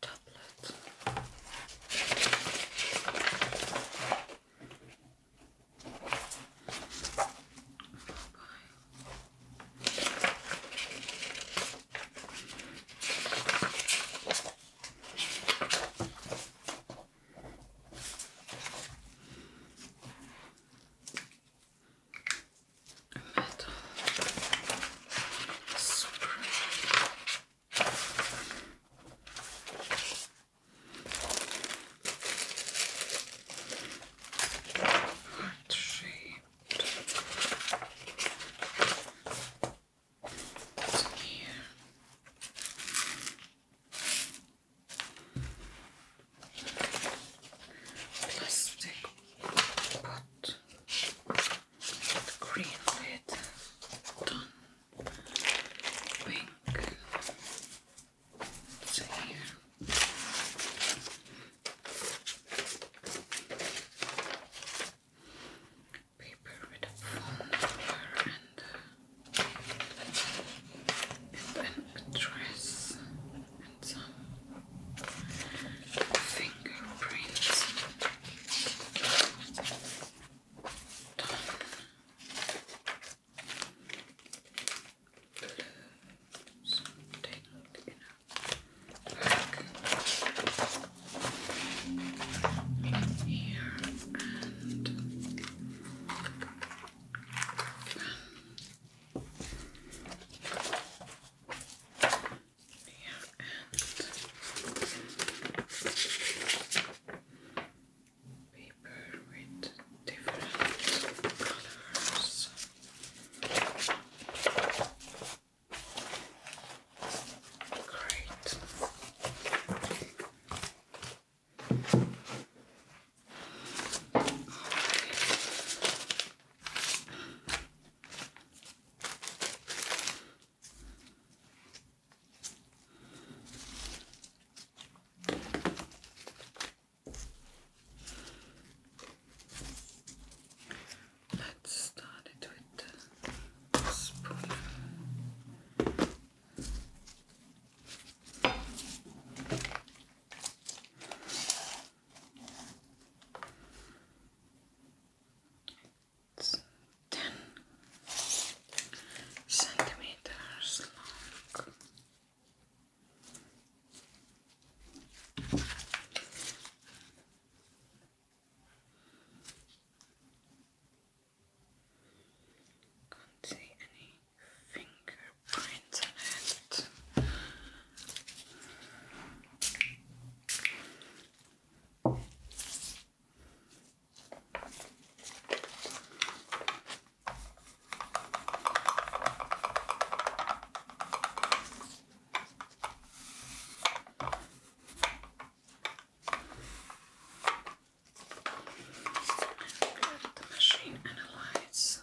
tablet metal spray. Heart shaped. Plastic pot green lid, done, pink, see here. Paper with a phone number and then uh, a dress and some fingerprints done something in a here and and paper with different colors. Great. Let's start it with spoon. 10 centimeters long. Can't see any fingerprints on it. Let the machine analyze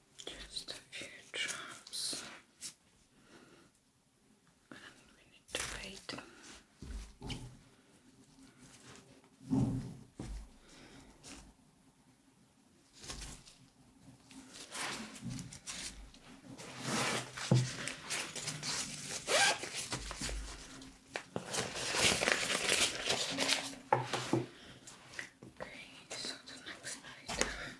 Just a few drops. And we need to wait. Okay, so the next item Something bowl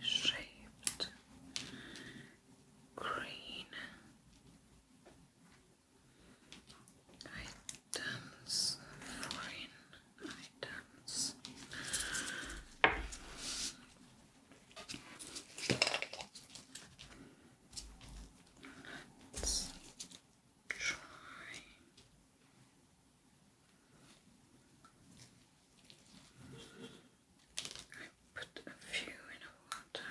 shaped green. Items, foreign items. Let's try. I put a few in water.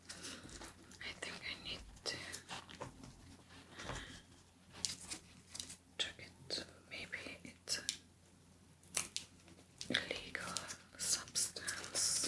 I think I need to check it. Maybe it's a illegal substance.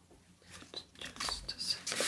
Just a second.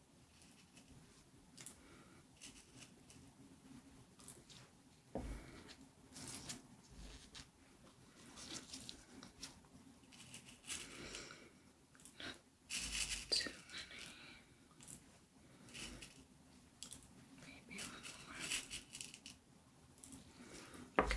Too many. Maybe one more. Good.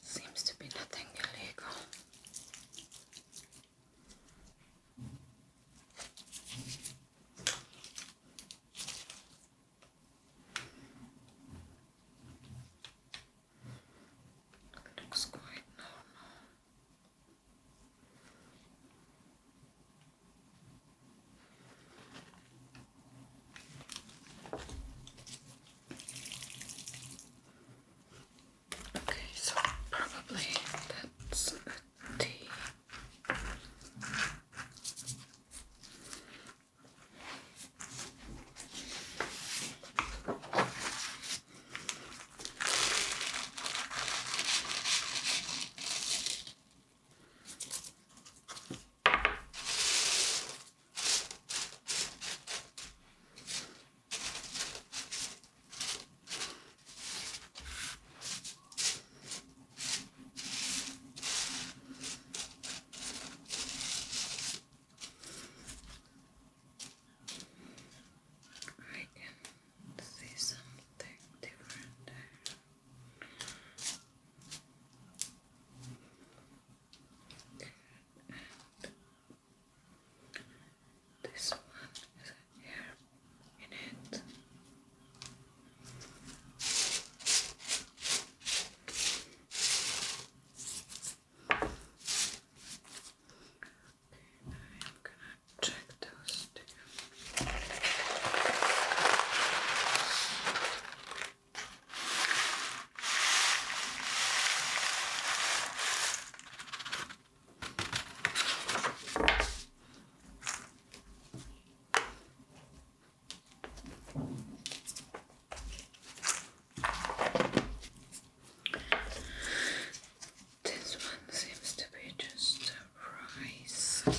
Seems to be nothing illegal. looks quite normal. Okay, so probably that's a T. I can see something different this one is here. in it. Okay, I'm gonna check those two. This one seems to be just rice.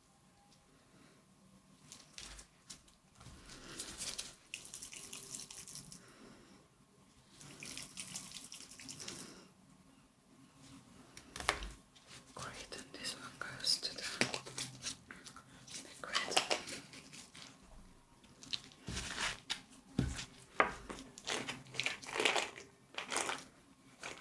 Great, and this one goes to the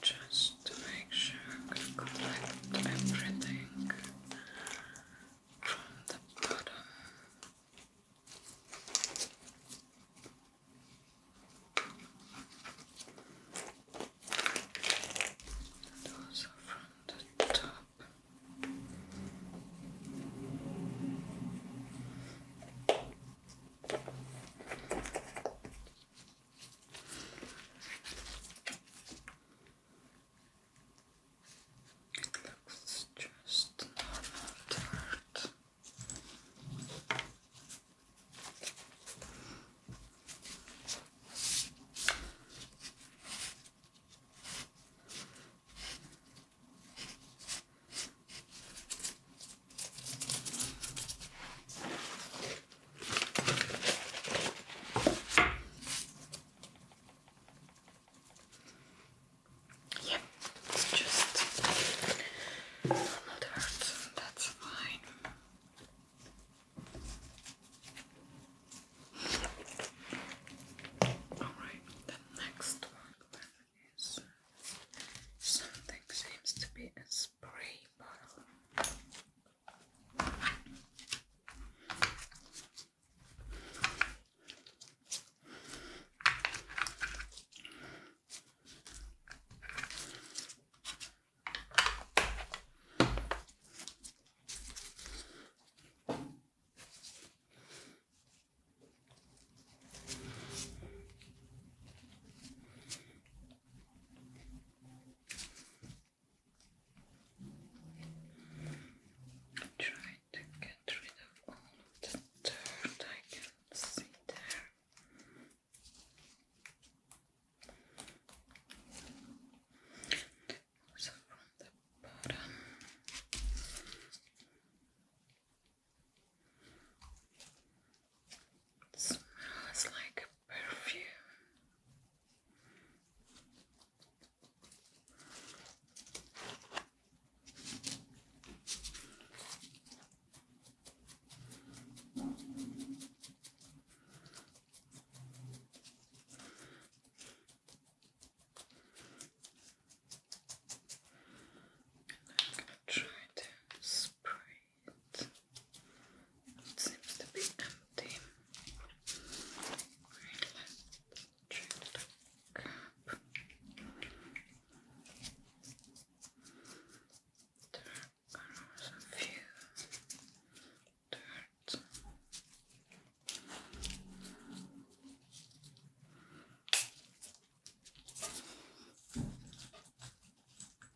Just to make sure I collect everything from the bottom. And also from the top. It looks just normal dirt. Yeah, it's just not hurt. That's fine. Alright, the next one is something seems to be a spray bottle. Try to get rid of all the dirt I can see there. Also from the bottom smells like perfume. I'm going to try to spray it seems to be empty. Right, let's check There are a few dirt.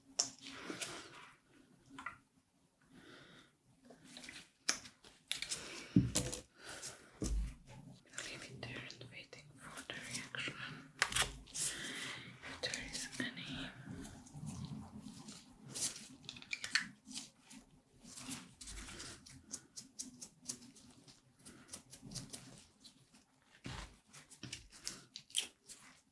Leave it there and waiting for the reaction. If there is any.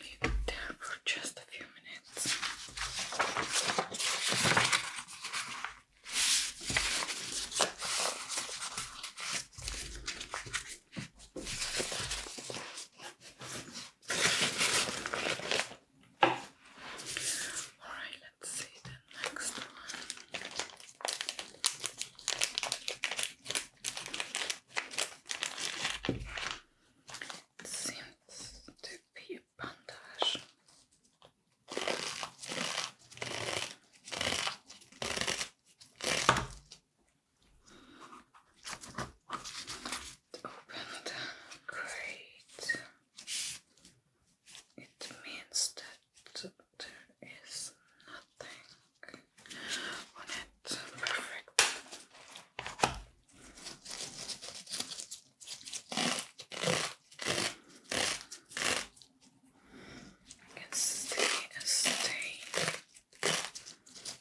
Leave it there for just a few minutes. Alright, let's see the next seems to be a bandage. Open it. Great. It means that there is nothing on it. Perfect. I can see a stain.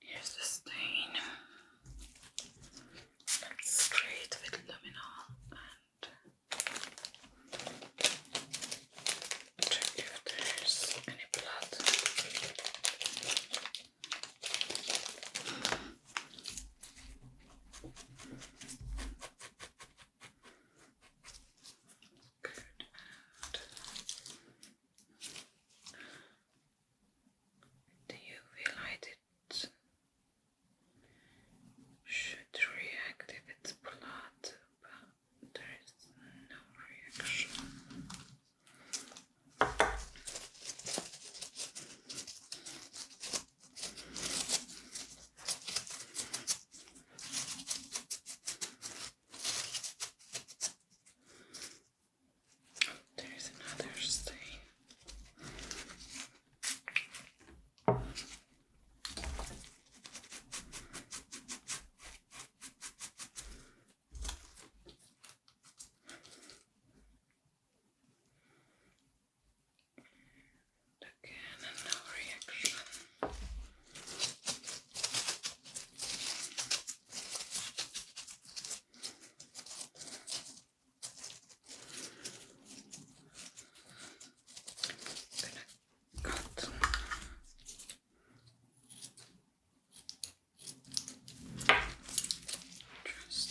Here's the stain. let with luminol and check if there's any blood. Good. Do you feel should react if it's blood, but there is no reaction? There's another stain. Again, no reaction gonna just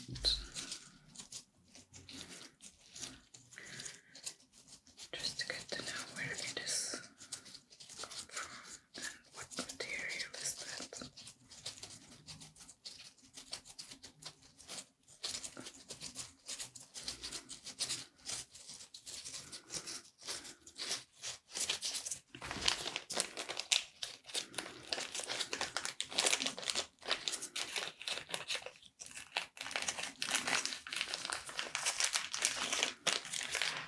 just to get to know where it is come from. And what material is that?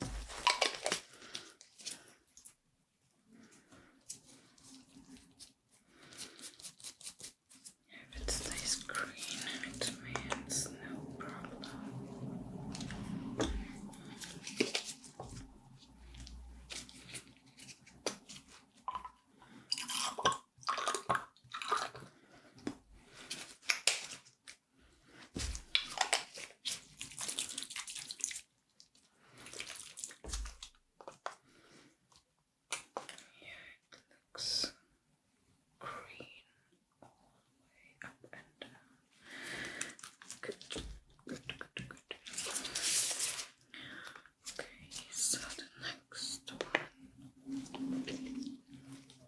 If it stays green, it means no problem it looks green all the way up and down. Good, good, good, good. Okay, so the next one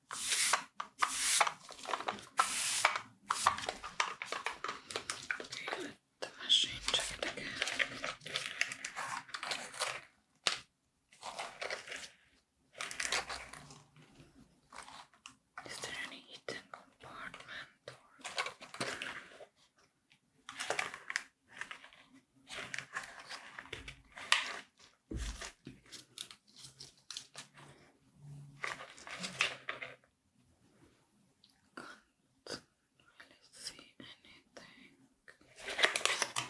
Okay, let the machine again. Is there any hidden compartment can't really see anything. Okay.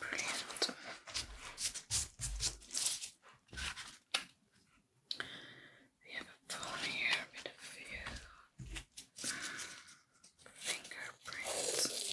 Brilliant. We have a here a few fingerprints.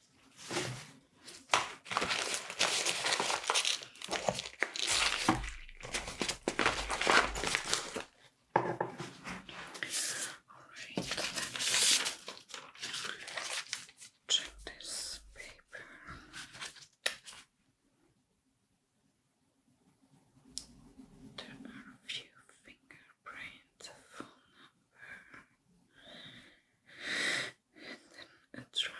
Alright, let check this paper. There are a few fingerprints, a phone number and then address.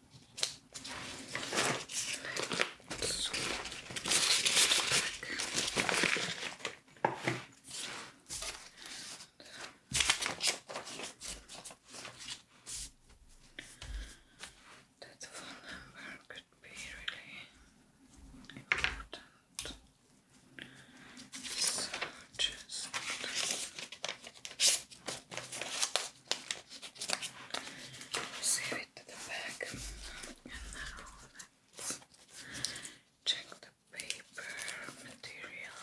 That's us That phone number could be really important. So just Save it to the back and now let's check the paper material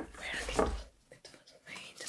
and where it was made.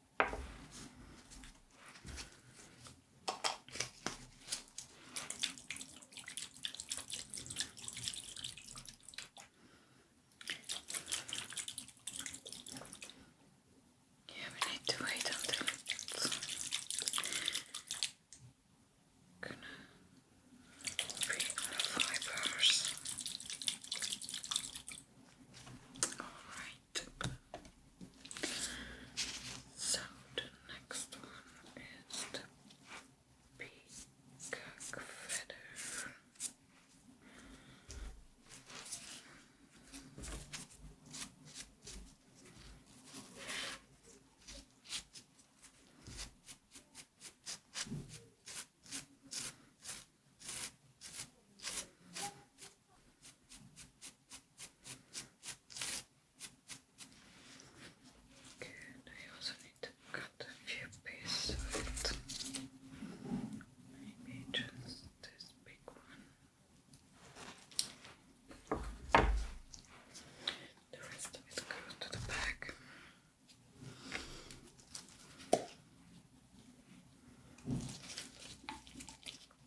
Yeah, we need to wait until it's gonna All right tip. So the next one is the peacock feather. Good, you also need a few pieces Maybe just this big one. The rest of it goes to the back.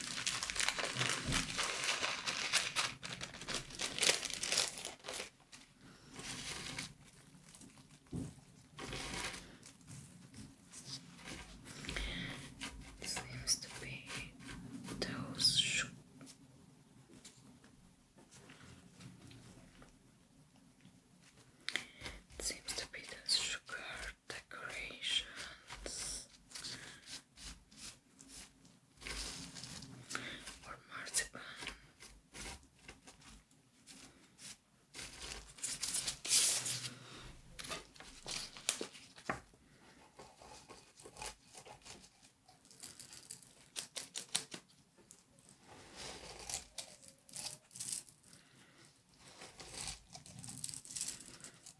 It seems to be those shoes. seems to be the sugar decorations or marzipan.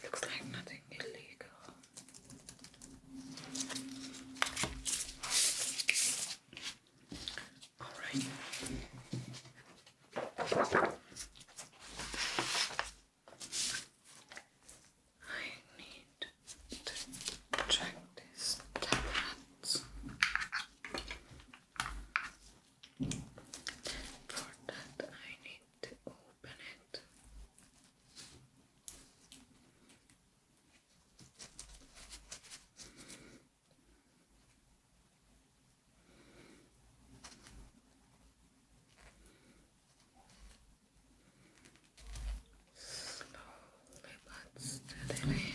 It looks like nothing illegal. All right. I need to check these tablets for that I need to open it. Slowly but steadily.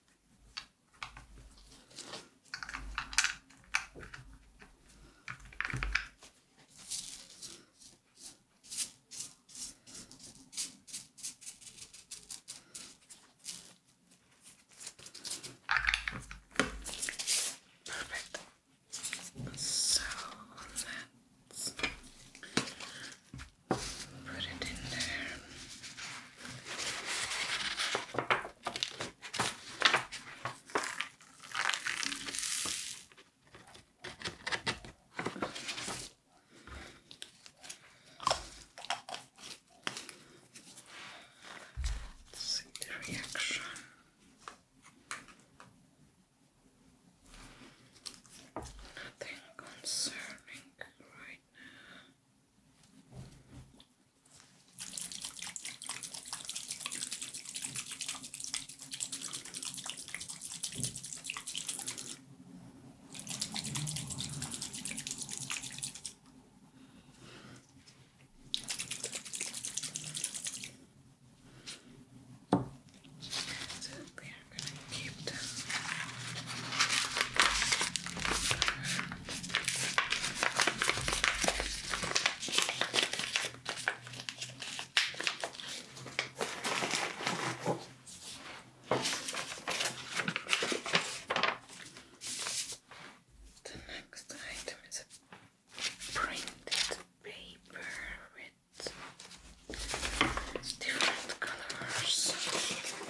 Perfect. So let's Put it in there. see the reaction. Nothing concerning right right now. Absolutely I'm The next item is a printed paper with different colors.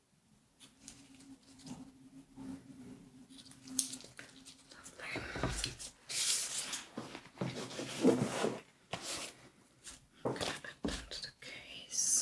I'm going to open the case.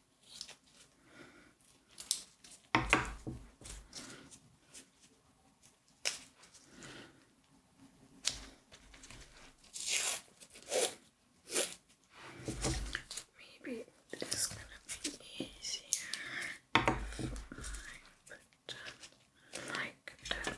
Maybe it's gonna be easier if I put them like that.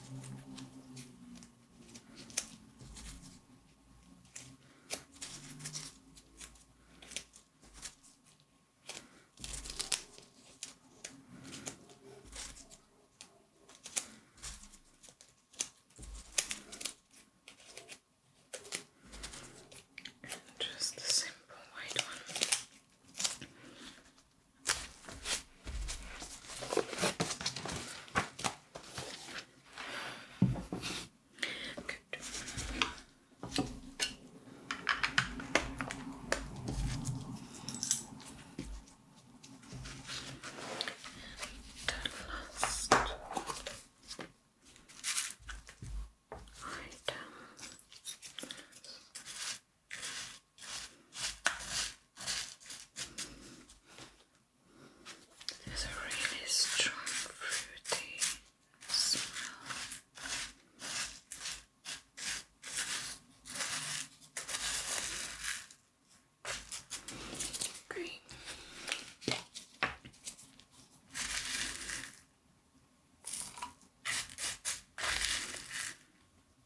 And just the simple white one. Good. And last item. There's a really strong fruity smell. Green.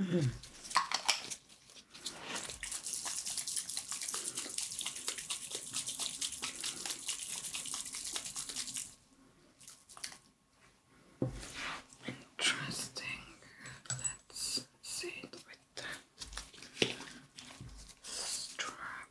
-hmm. Interesting. Let's see with the strap.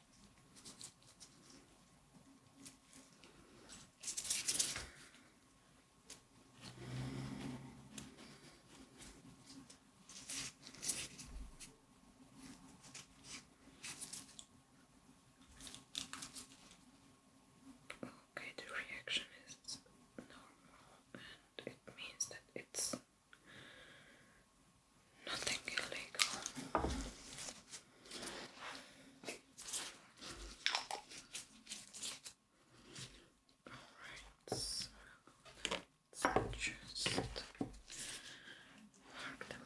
Okay, the reaction is normal, and it means that it's nothing illegal. Alright, so let's just mark them.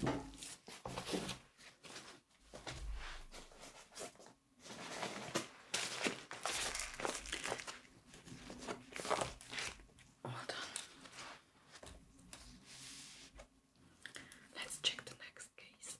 Good. All Let's check the next case.